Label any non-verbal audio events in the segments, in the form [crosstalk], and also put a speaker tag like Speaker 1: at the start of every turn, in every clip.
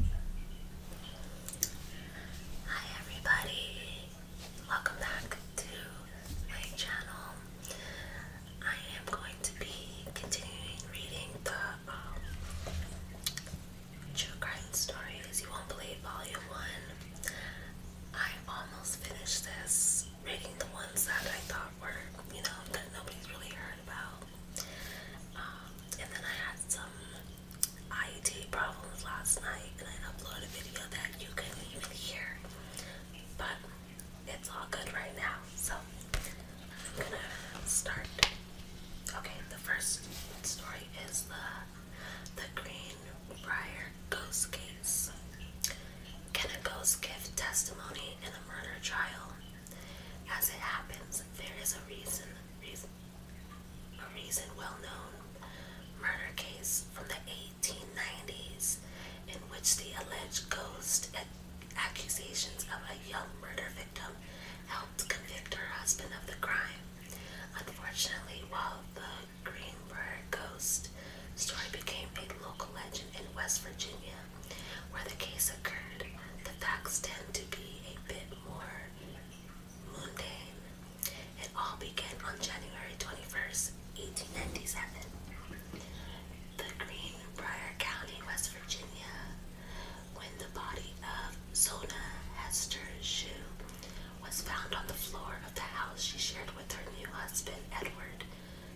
Speaker 1: Hi everybody, welcome back to my channel. I am going to be continuing reading the um, True Crime Stories You Won't Believe Volume 1. I almost finished this, reading the ones that I thought were, you know, that nobody's really heard about. Um, and then I had some IED problems last night and I uploaded a video that you couldn't even hear. But it's all good right now. So I'm gonna start. Okay, the first story is the the Greenbrier ghost case. Can a ghost give testimony in a murder trial? As it happens, there is a reason a reason well known murder case from the 1890s, in which the alleged ghost accusations of a young murder victim helped convict her husband of the crime. Unfortunately, while the Greenberg ghost story became a local legend in West Virginia, where the case occurred, the facts tend to be a bit more mundane. It all began on January 21st, 1897. The Greenbrier County, West Virginia, when the body of Zona Hester Shue was found on the floor of the house she shared with her new husband, Edward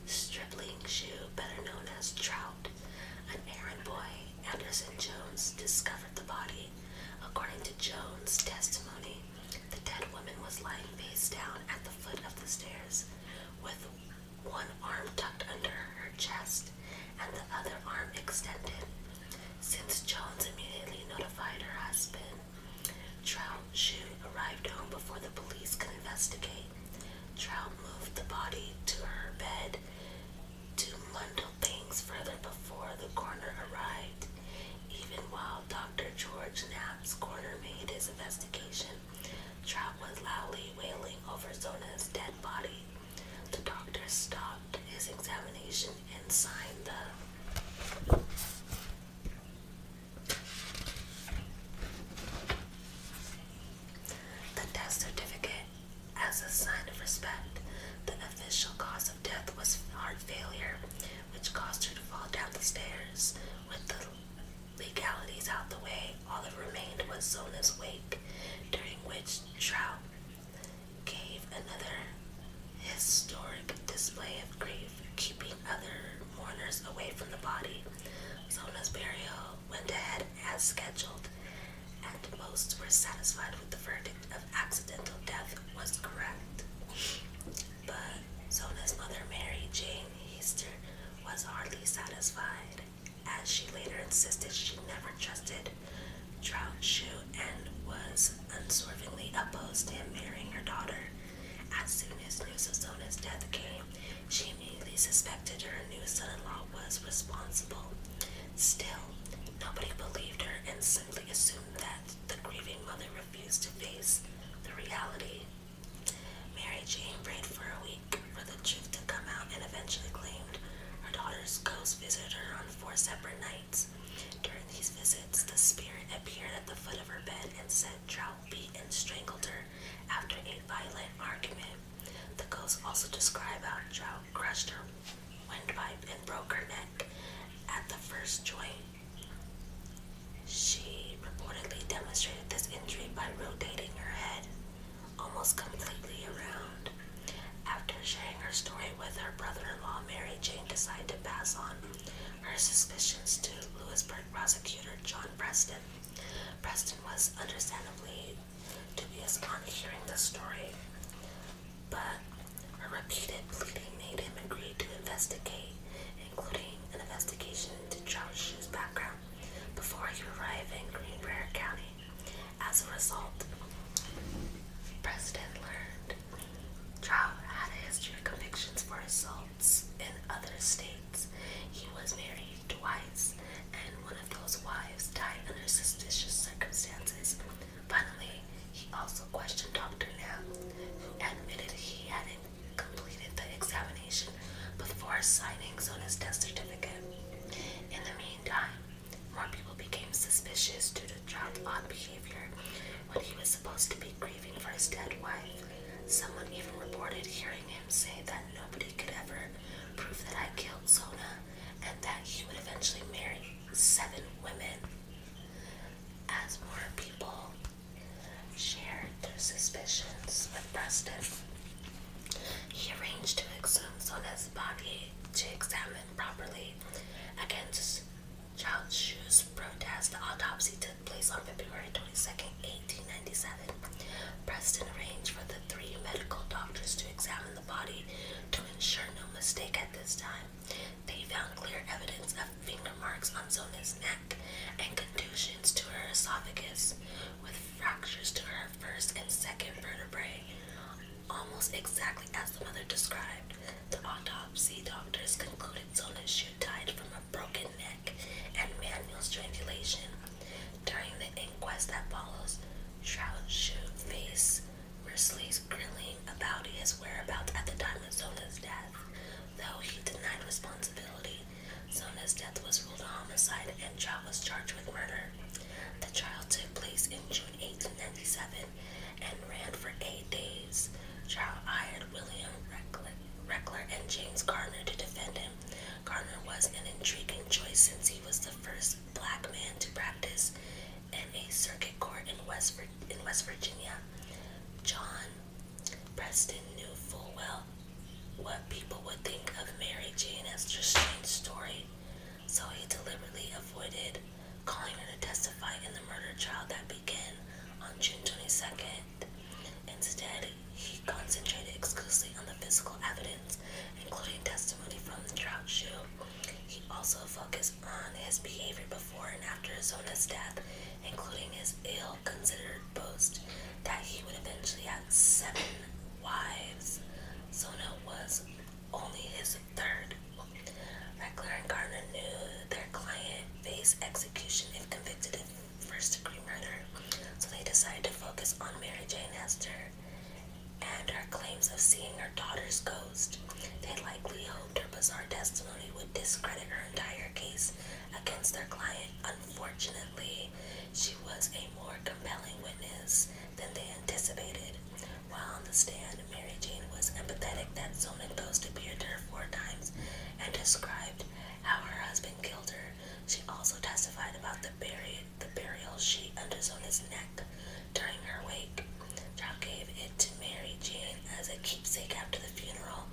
Speaker 1: Stripling Shue, better known as Trout, an errand boy Anderson Jones discovered the body. According to Jones' testimony, the dead woman was lying face down at the foot of the stairs with one arm tucked under her chest and the other arm extended. Since Jones immediately notified her husband, Trout Shu arrived home before the police could investigate. Trout moved the body to her bed to bundle things further before the coroner arrived. Even while Dr. George Knapp's coroner made his investigation, Trout was loudly wailing over Zona's dead body. The doctor stopped his examination and signed the the death certificate. As a sign of respect, the official cause of death was heart failure, which caused her to fall down the stairs. With the legalities out the way, all that remained was Zona's wake, during which Trout gave another historic display of grief, keeping other mourners away from the body. Zona's burial went ahead as scheduled, and most were satisfied with the verdict of accidental death was correct. But Zona's mother, Mary Jane Easter, was hardly satisfied, as she later insisted she never trusted Troutshoe and was unswervingly opposed to him marrying her daughter. As soon as news of Zona's death came, she immediately suspected her new son-in-law was responsible. Still, nobody believed her and simply assumed that the grieving mother refused to face the reality. Mary Jane prayed for a week for the truth to come out and eventually claimed her daughter's ghost visited her on four separate nights. During these visits, the spirit appeared at the foot of her bed and said Trout beat and strangled her after a violent argument. The ghost also described how Trout crushed her windpipe and broke her neck at the first joint. She reportedly demonstrated this injury by rotating her head almost completely around. After sharing her story with her brother-in-law, Mary Jane decided to pass on her suspicions to Lewisburg prosecutor John Preston. Preston was understandably to on hearing the story, but a repeated pleading made him agree to investigate, including an investigation into Trout's background before he arrived in Greenbrier County. As a result, President learned Trout had a history of convictions for assaults in other states. He was married twice and of those wives died under suspicious circumstances. Finally, he also questioned Dr. Knapp, who admitted he hadn't completed the examination before signing Zona's death certificate. In the meantime, more people became suspicious due to John's odd behavior when he was supposed to be grieving for his dead wife. Someone even reported hearing him say that nobody could ever prove that I killed Zona and that he would eventually marry seven women. As more people shared their suspicions with Preston, he arranged to exhume Sona's body to examine properly. Against Charles Shue's protest, the autopsy took place on February twenty second, 1897. Preston arranged for the three medical doctors to examine the body to ensure no mistake at this time. They found clear evidence of finger marks on Zona's neck and contusions to her esophagus, with fractures to her first and second vertebrae, almost exactly as the mother described. The autopsy doctors concluded Zona should died from a broken neck and manual strangulation, during the inquest that follows, Shroud should face Risley's grilling about his whereabouts at the time of Zola's death, though he denied responsibility. Zola's death was ruled a homicide and Shroud was charged with murder. The trial took place in June 1897 and ran for eight days. Shroud hired William Reckler and James Garner to defend him. Garner was an intriguing choice since he was the first black man to practice in a circuit court in West, in West Virginia. John Preston knew full well what people would think of Mary Jane Esther's strange story, so he deliberately avoided calling her to testify in the murder trial that began on June 22nd. Instead, he concentrated exclusively on the physical evidence including testimony from the drought shoe. He also focused on his behavior before and after Zona's death, including his ill considered boast that he would eventually have seven wives. Zona was only his third. Reckler and Gardner knew their client faced execution if convicted of first degree murder, so they decided to focus on Mary Jane Hester and her claims of seeing her daughter's ghost. They likely hoped her bizarre testimony would discredit her entire case against their client. Unfortunately, she was a more compelling witness than they anticipated. While on the stand, Mary Jane was empathetic that Zonin Ghost appeared to her four times and described how her husband killed her. She also testified about the burial the burial sheet his neck during her wake. John gave it to Mary Jane as a keepsake after the funeral,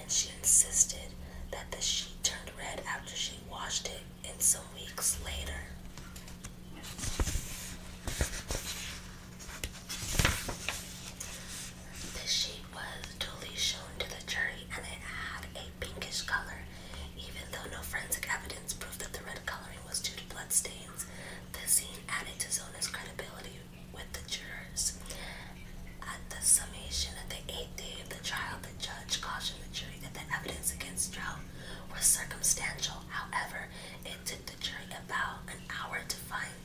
Speaker 1: and she insisted that the sheet turned red after she washed it and some weeks later. The sheet was duly shown to the jury and it had a pinkish color even though no forensic evidence proved that the red coloring was due to blood stains, the scene added to Zona's credibility with the jurors. At the summation of the eighth day of the trial, the judge cautioned the jury that the evidence against Stroud was circumstantial. However, it took the jury about an hour to find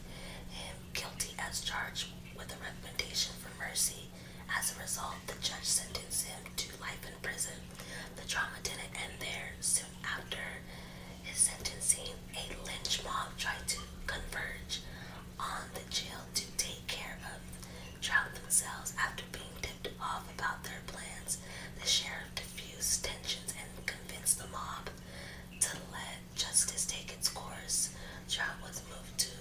Speaker 1: him guilty as charged with a recommendation for mercy. As a result, the judge sentenced him to life in prison the drama didn't end there. Soon after his sentencing, a lynch mob tried to converge on the jail to take care of Trout themselves. After being tipped off about their plans, the sheriff diffused tensions and convinced the mob to let justice take its course. Trout was moved to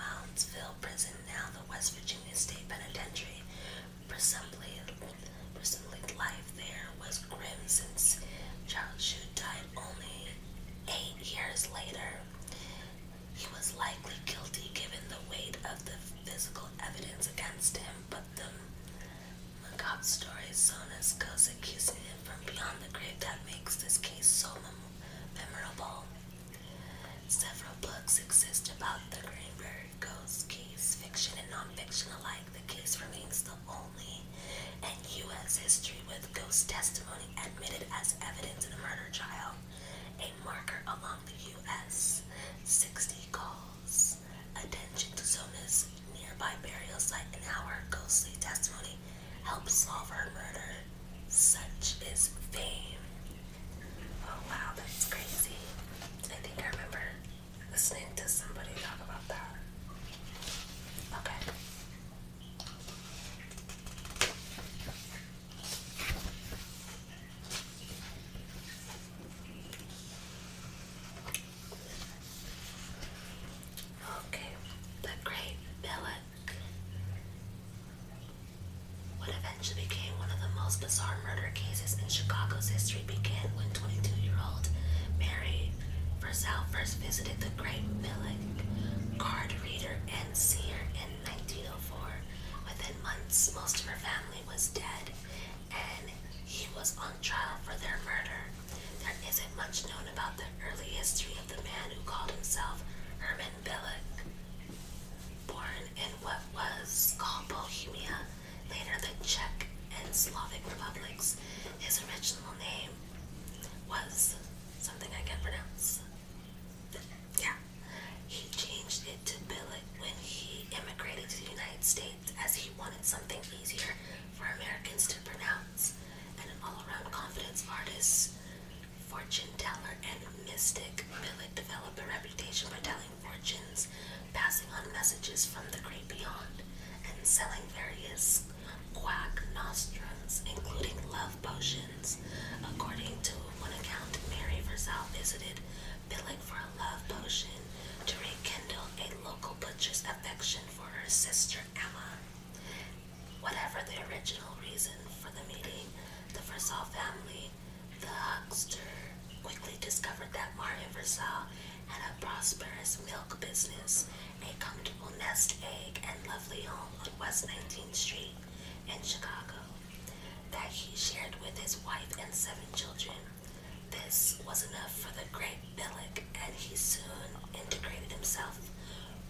Speaker 1: Moundsville Prison, now the West Virginia State Penitentiary, Presumably, presumably life there was grim since Charles Shu died only eight years later. He was likely guilty given the weight of the physical evidence against him, but the macabre story Sonas goes accusing him from beyond the grave that makes this case so memorable. Several books exist about the Greenberg Ghost case, fiction and nonfiction alike. The case remains the only in U.S. history with ghost testimony admitted as evidence in a murder trial, a marker along the U.S. 60 calls. Attention to Zona's nearby burial site and how her ghostly testimony helps solve her murder. Such is fame. Oh wow, that's crazy. I think I remember listening to somebody talk about that. Okay. Okay, the great billet. What eventually became one of the most bizarre murder cases in Chicago's history began when 22-year-old Mary Versal first visited the Great Millick card reader and seer in 1904. Within months, most of her family was dead, and he was on trial for their murder. There isn't much known about the early history of the man who called himself Herman Billick. Born in what was called Bohemia, later the Czech and Slovak republics. His original name was something I can't pronounce. Yeah. He changed it to Billet when he immigrated to the United States as he wanted something easier for Americans to pronounce. And an all around confidence artist fortune teller and mystic, Billick developed a reputation for telling fortunes, passing on messages from the great beyond, and selling various quack nostrums, including love potions. According to one account, Mary Versailles visited Billick for a love potion to rekindle a local butcher's affection for her sister Emma. Whatever the original reason for the meeting, the Versailles family the huckster quickly discovered that Mario Versailles had a prosperous milk business, a comfortable nest egg, and lovely home on West 19th Street in Chicago that he shared with his wife and seven children. This was enough for the great bilic, and he soon integrated himself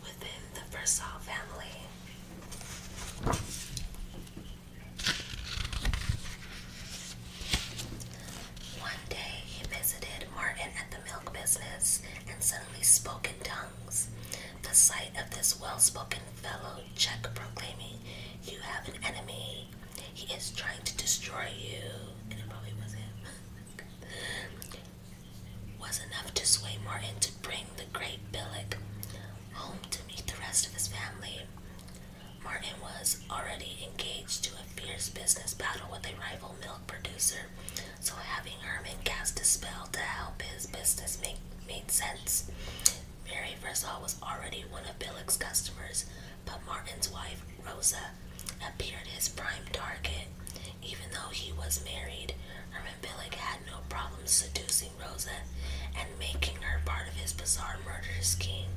Speaker 1: within the Versailles family. One day he visited Martin at the milk business and suddenly spoke in tongues. The sight of this well spoken fellow checked proclaiming, You have an enemy. He is trying to destroy you. And it probably was him. [laughs] was enough to sway Martin to bring the great Billick home to meet the rest of his family. Martin was already engaged to a fierce business battle with a rival milk producer, so having Herman cast a spell to help his business make made sense. Mary Versal was already one of Billick's customers, but Martin's wife, Rosa, appeared his prime target. Even though he was married, and had no problems seducing Rosa and making her part of his bizarre murder scheme.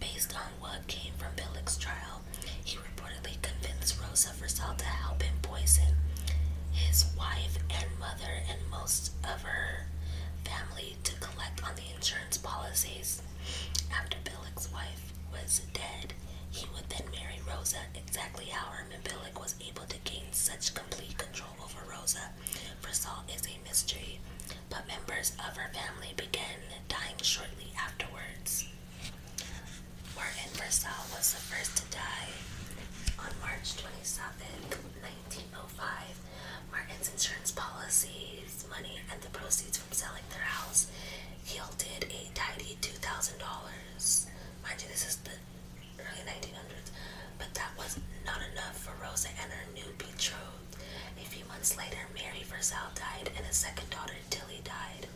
Speaker 1: Based on what came from Billig's trial, he reportedly convinced Rosa Versal to help him poison his wife and mother and most of her family to collect on the insurance policies. After Billig's wife was dead, he would then marry Rosa. Exactly how Herman Billig was able to gain such complete control over Rosa Result is a mystery, but members of her family began dying shortly afterwards. Martin Versal was the first to die. On March twenty seventh, 1905, Martin's insurance policies, money, and the proceeds from selling their house yielded a tidy $2,000. Mind you, this is the early 1900s, but that was not enough for Rosa and her new betrothed. A few months later, Mary Versailles died, and a second daughter, Tilly, died.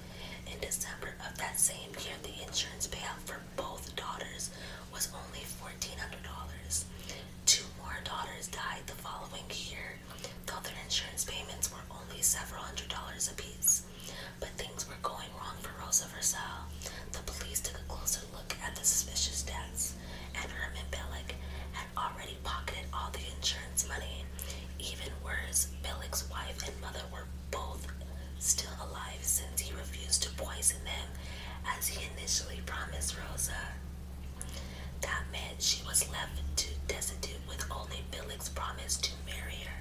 Speaker 1: In December of that same year, the insurance payout for both daughters was only $1,400. Two more daughters died the following year, though their insurance payments were only several hundred dollars apiece. But things were going wrong for Rosa Versailles. The police took a closer look at the suspicious deaths, and Herman Billick had already pocketed all the insurance money. Even worse, Billick's wife and mother were both still alive since he refused to poison them as he initially promised Rosa. That meant she was left to destitute with only Billick's promise to marry her.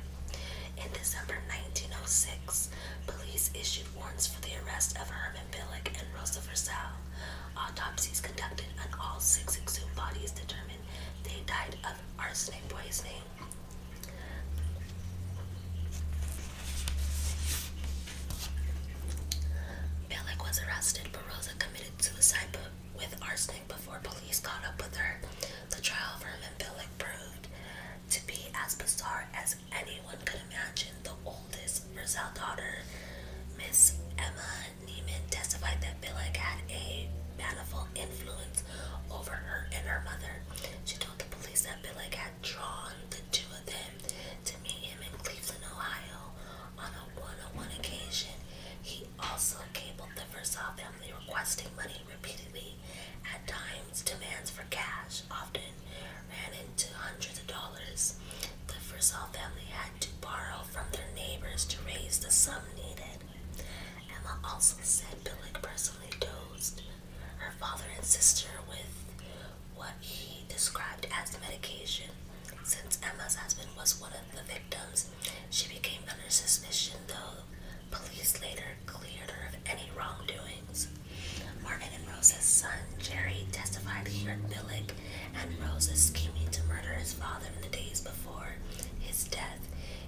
Speaker 1: In December 1906, police issued warrants for the arrest of Herman Billick and Rosa Versal. Autopsies conducted on all six exhumed bodies determined they died of arsenic poisoning. Billick was arrested, but Rosa committed suicide with arsenic before police caught up with her. The trial of Herman Billick proved to be as bizarre as as anyone could imagine, the oldest Rizal daughter, Miss Emma Neiman, testified that Billig had a manifold influence over her and her mother. She told the police that Billig had drawn the two of them to meet him in Cleveland, Ohio on a one-on-one occasion. He also cabled the Versailles family requesting money repeatedly at times times, demands for cash often ran into hundreds of dollars. The Frisell family had to borrow from their neighbors to raise the sum needed. Emma also said Billick personally dosed her father and sister with what he described as medication. Since Emma's husband was one of the victims, she became under suspicion, though police later cleared her of any wrongdoings. Martin and Rose's son, Jerry, testified he heard Billick and Rose's scheming to murder his father in the days before his death.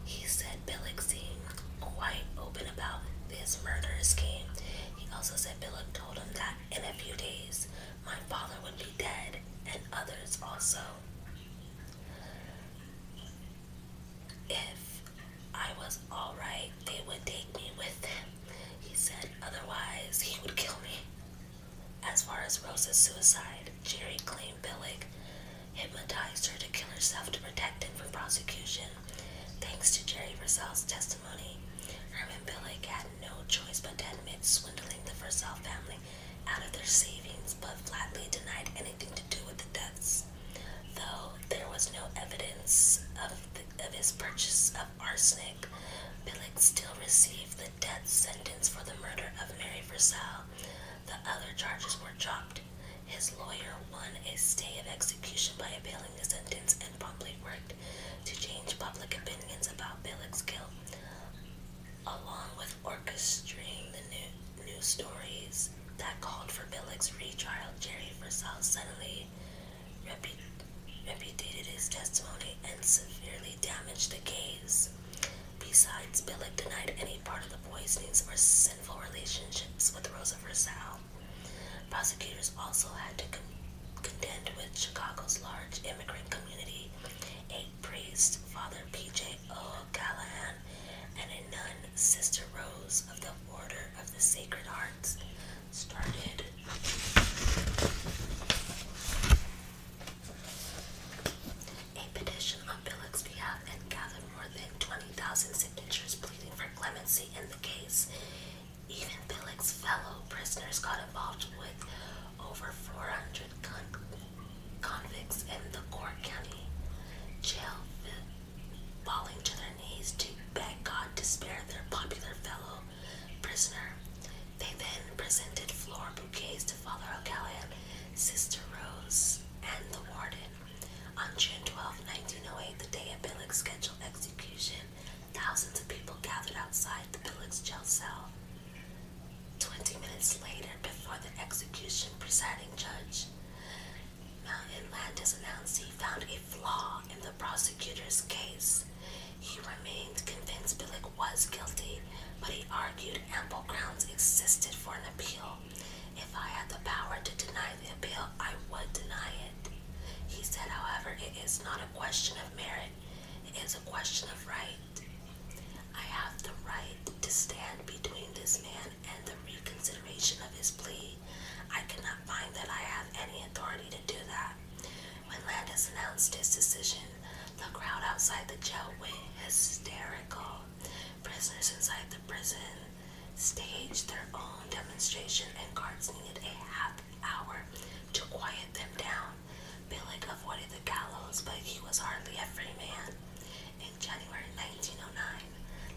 Speaker 1: He said Billick seemed quite open about this murder scheme. He also said Billick told him that in a few days my father would be dead and others also. If I was alright, they would take me with them. He said otherwise he would kill me. As far as Rosa's suicide, Jerry claimed Billick hypnotized her to kill herself to protect him from prosecution. Thanks to Jerry Versal's testimony, Herman Billick had no choice but to admit swindling the Versal family out of their savings, but flatly denied anything to do with the deaths. Though there was no evidence of, of his purchase of arsenic, Billick still received the death sentence for the murder of Mary Versailles. The other charges were dropped. His lawyer won a stay of execution by appealing the sentence and promptly worked to change public opinions about Billick's guilt, along with orchestrating the new, new stories that called for Billick's retrial. Jerry Versailles suddenly repudiated his testimony and severely damaged the case. Besides, Billick denied any part of the poisonings or sinful relationships with Rosa Versailles. Prosecutors also had to contend with Chicago's large immigrant community, a priest, Father P.J. O'Callahan, and a nun Sister Rose of the Order of the Sacred Hearts started. A petition on Billick's behalf and gathered more than 20,000 signatures pleading for clemency in the case. Even Billick's fellow prisoners got involved with over 400 convicts in the Cork County Jail falling to their knees to beg God to spare their popular fellow prisoner. They then presented floral bouquets to Father O'Callaghan, Sister Rose, and the warden. On June twelfth, nineteen 1908, the day of Billick's scheduled execution, thousands of people gathered outside the Billick's jail cell. Twenty minutes later, before the execution, presiding judge now Atlantis he found a flaw in the prosecutor's case. He remained convinced Billick was guilty, but he argued ample grounds existed for an appeal. If I had the power to deny the appeal, I would deny it. He said, however, it is not a question of merit, it is a question of right. I have the right to stand between this man and the reconsideration of his plea. I cannot find that I have any authority to do that. When Landis announced his decision, the crowd outside the jail went hysterical. Prisoners inside the prison staged their own demonstration, and guards needed a half hour to quiet them down. Billick avoided the gallows, but he was hardly a free man. In January 1909,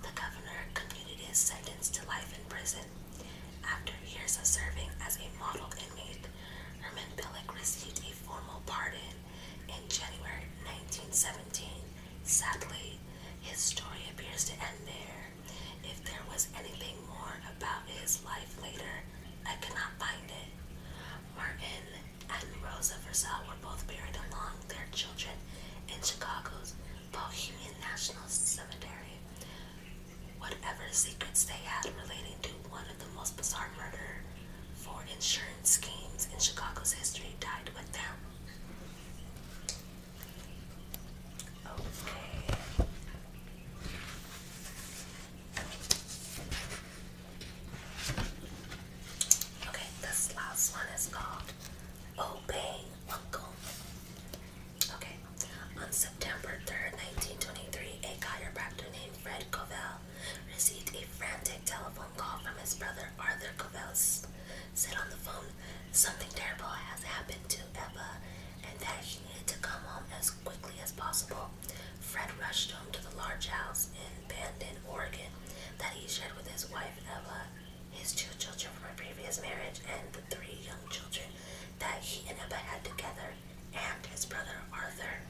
Speaker 1: the governor commuted his sentence to life in prison. After years of serving as a model inmate, Herman Billick received a formal pardon in January 1917. Sadly, his story appears to end there. If there was anything more about his life later, I could not find it. Martin and Rosa Versal were both buried along their children in Chicago's Bohemian National Cemetery. Whatever secrets they had relating to one of the most bizarre murder for insurance schemes in Chicago's history died with them. Okay. Okay, this last one is called Obey Funkle. Okay. On September 3rd, 1923, a chiropractor named Fred Covell received a frantic telephone call from his brother Arthur Covell. Said on the phone, something terrible has happened to Eva and that he needed to come home as quickly as possible. Fred rushed home to the large house in Bandon, Oregon that he shared with his wife Eva his two children from a previous marriage, and the three young children that he and Emma had together, and his brother Arthur.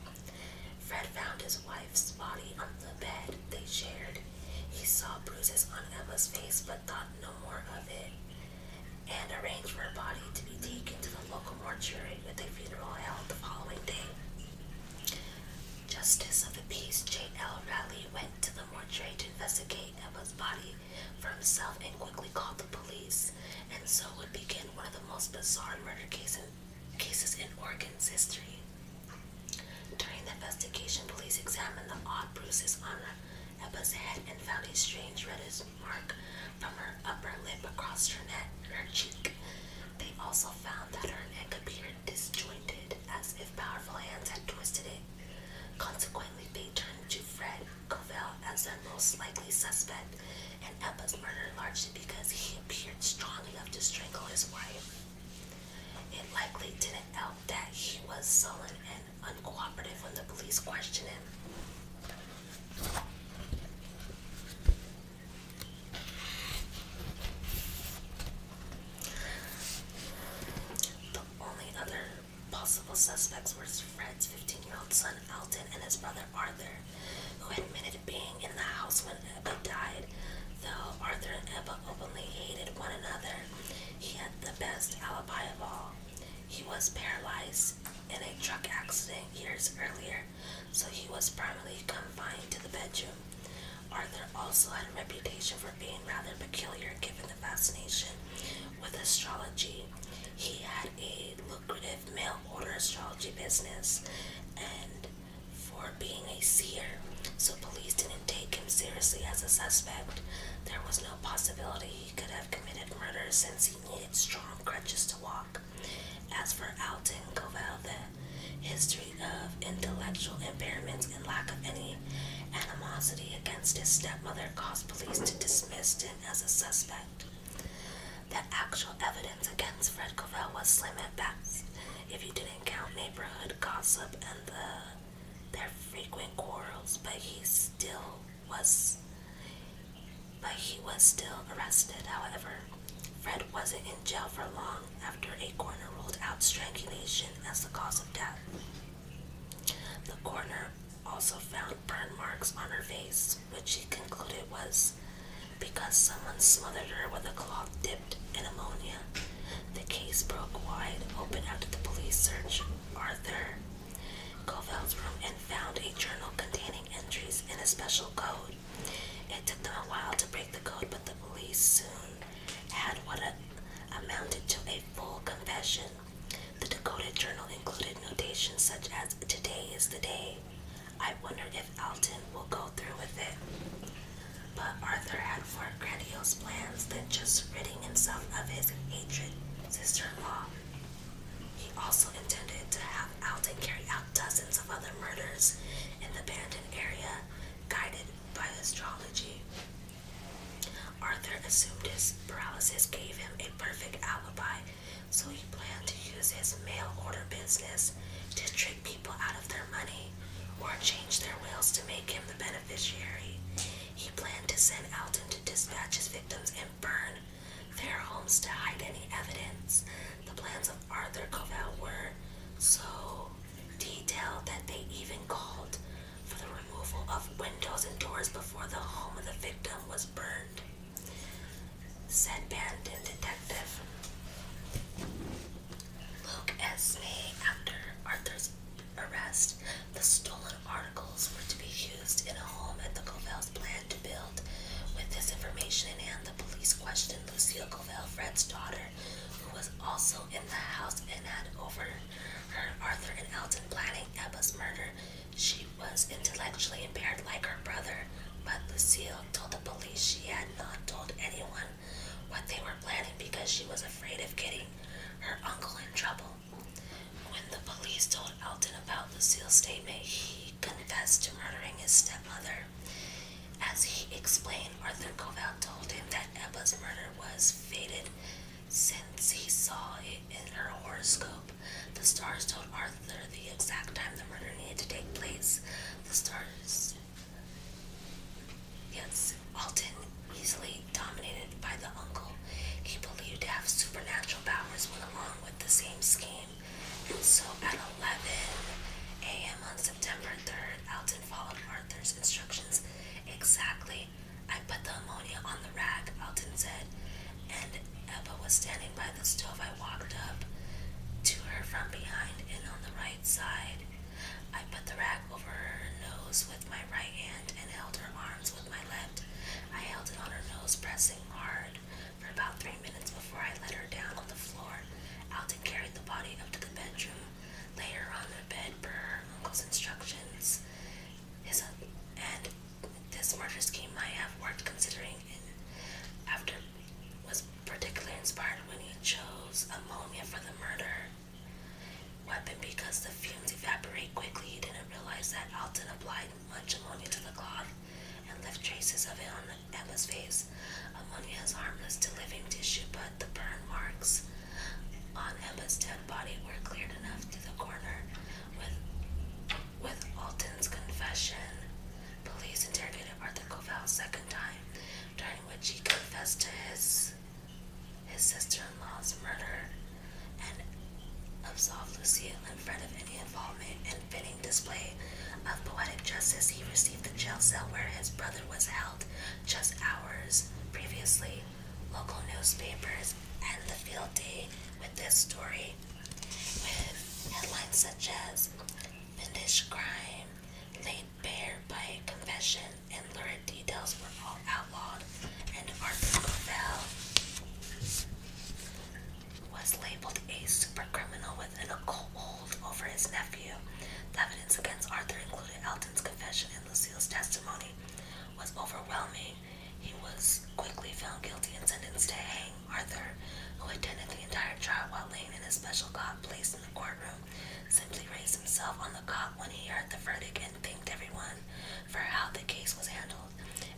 Speaker 1: Fred found his wife's body on the bed they shared. He saw bruises on Emma's face but thought no more of it, and arranged for her body to be taken to the local mortuary with a funeral held the following day. Justice of the Peace J.L. Raleigh went to the mortuary to investigate laying up his body for himself and quickly called the police. And so would begin one of the most bizarre murder cases, cases in Oregon's history. During the investigation, police examined the odd bruises on Ebba's head and found a strange reddish mark from her upper lip across her neck, and her cheek. They also found that her neck appeared disjointed, as if powerful hands had twisted it Consequently, they turned to Fred Covell as their most likely suspect and Ebba's murder largely because he appeared strong enough to strangle his wife. It likely didn't help that he was sullen and uncooperative when the police questioned him only other possible suspects were Fred's 15 year old son Alton and his brother Arthur, who admitted being in the house when Ebba died. Though Arthur and Ebba openly hated one another, he had the best alibi of all. He was paralyzed in a truck accident years earlier, so he was permanently confined to the bedroom. Arthur also had a reputation being rather peculiar given the fascination with astrology. He had a lucrative mail order astrology business and for being a seer, so police didn't take him seriously as a suspect. There was no possibility he could have committed murder since he needed strong crutches to walk. As for Alton Covell, the history of intellectual impairments and lack of any Animosity against his stepmother caused police to dismiss him as a suspect. The actual evidence against Fred Covell was slim at best, if you didn't count neighborhood gossip and the their frequent quarrels, but he still was but he was still arrested, however. Fred wasn't in jail for long after a coroner ruled out strangulation as the cause of death. The coroner also found burn marks on her face, which he concluded was because someone smothered her with a cloth dipped in ammonia. The case broke wide open after the police searched Arthur Covell's and found a journal containing entries in a special code. It took them a while to break the code, but the police soon had what amounted to a full confession. The decoded journal included notations such as, Today is the day. I wonder if Alton will go through with it. But Arthur had more grandiose plans than just ridding himself of his hatred sister in law. He also intended to have Alton carry out dozens of other murders in the abandoned area, guided by astrology. Arthur assumed his paralysis gave him a perfect alibi, so he planned to use his mail order business to trick people out of their money or change their wills to make him the beneficiary. He planned to send Alton to dispatch his victims and burn their homes to hide any evidence. The plans of Arthur Covell were so detail that they even called for the removal of windows and doors before the home of the victim was burned, said Bandon Detective Look, as May. After Arthur's arrest, the stolen articles were to be used in a home at the Covells planned to build. With this information in hand, the police questioned Lucille Covell, Fred's daughter, who was also in the house and had over heard Arthur and Elton planning Ebba's murder. She was intellectually impaired like her brother, but Lucille told the police she had not told anyone what they were planning because she was afraid of getting her uncle in trouble. When the police told Elton about Lucille's statement, he confessed to murdering his stepmother. As he explained, Arthur Covell told him that Ebba's murder was fated since he saw it in her horoscope, the stars told Arthur the exact time the murder needed to take place. The stars. Yes, Alton, easily dominated by the uncle he believed to have supernatural powers, went along with the same scheme. And so at 11 a.m. on September 3rd, Alton followed Arthur's instructions exactly I put the ammonia on the rack, Alton said, and Eva was standing by the stove. I walked up to her from behind and on the right side. I put the rack over her nose with my right hand and held her arms with my left. I held it on her nose, pressing hard for about three minutes before I let her down on the floor. Alton carried the body up to the bedroom Later on the bed per uncle's instructions. His, and this murder scheme might have worked considering it after was particularly inspired when he chose ammonia for the murder weapon because the fumes evaporate quickly. He didn't realize that Alton applied much ammonia to the cloth and left traces of it on Emma's face. Ammonia is harmless to living tissue, but the burn marks on Emma's dead body were cleared enough to the corner with with Alton's confession. Police interrogated Arthur Covell a second time, during which he confessed to his his sister-in-law's murder and absolved Lucille in front of any involvement in fitting display of poetic justice. He received the jail cell where his brother was held just hours previously local newspapers end the field day with this story, with headlines such as "Vindish Crime, Laid Bare by Confession, and lurid details were all outlawed, and Arthur Covell was labeled a super criminal with an occult hold over his nephew. The evidence against Arthur included Elton's confession Lucille's testimony was overwhelming. He was quickly found guilty and sentenced to hang. Arthur, who attended the entire trial while laying in his special cot placed in the courtroom, simply raised himself on the cot when he heard the verdict and thanked everyone for how the case was handled.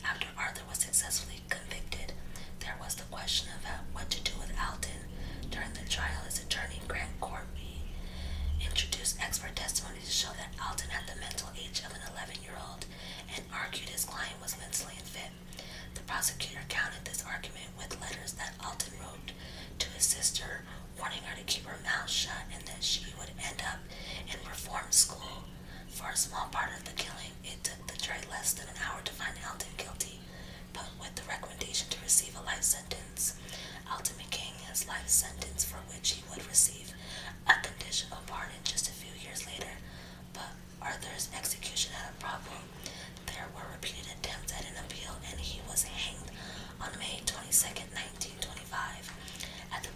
Speaker 1: After Arthur was successfully convicted, there was the question of uh, what to do with Alton during the trial. U.S. Attorney Grant Corby introduced expert testimony to show that Alton had the mental age of an 11-year-old and argued his client was mentally unfit. The prosecutor countered this argument with letters that Alton wrote to his sister, warning her to keep her mouth shut and that she would end up in reform school. For a small part of the killing, it took the jury less than an hour to find Alton guilty, but with the recommendation to receive a life sentence, sentence, ultimating his life sentence for which he would receive a conditional pardon just a few years later. But Arthur's execution had a problem. There were repeated attempts at an appeal, and he was hanged on May 22, 1925, at the,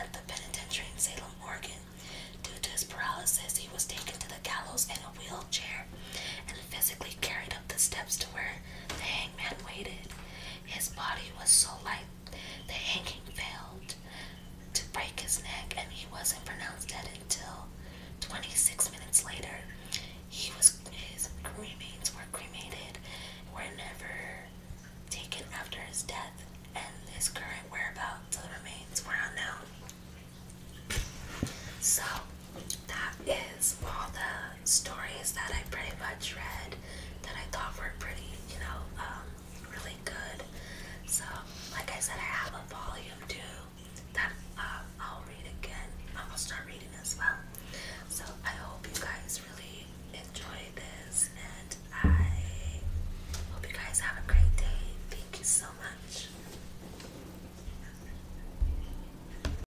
Speaker 1: at the penitentiary in Salem, Oregon. Due to his paralysis, he was taken to the gallows in a wheelchair and physically carried up the steps to where the hangman waited. His body was so light the hanging failed to break his neck, and he wasn't pronounced dead until 26 minutes later. He was his remains were cremated, were never taken after his death, and his current whereabouts of the remains were unknown. So that is all the stories that I pretty much read that I thought were pretty, you know, um, really good. So, like I said, I have a volume two that um, I'll read again. I am gonna start reading as well. So, I hope you guys really enjoy this, and I hope you guys have a great day. Thank you so much.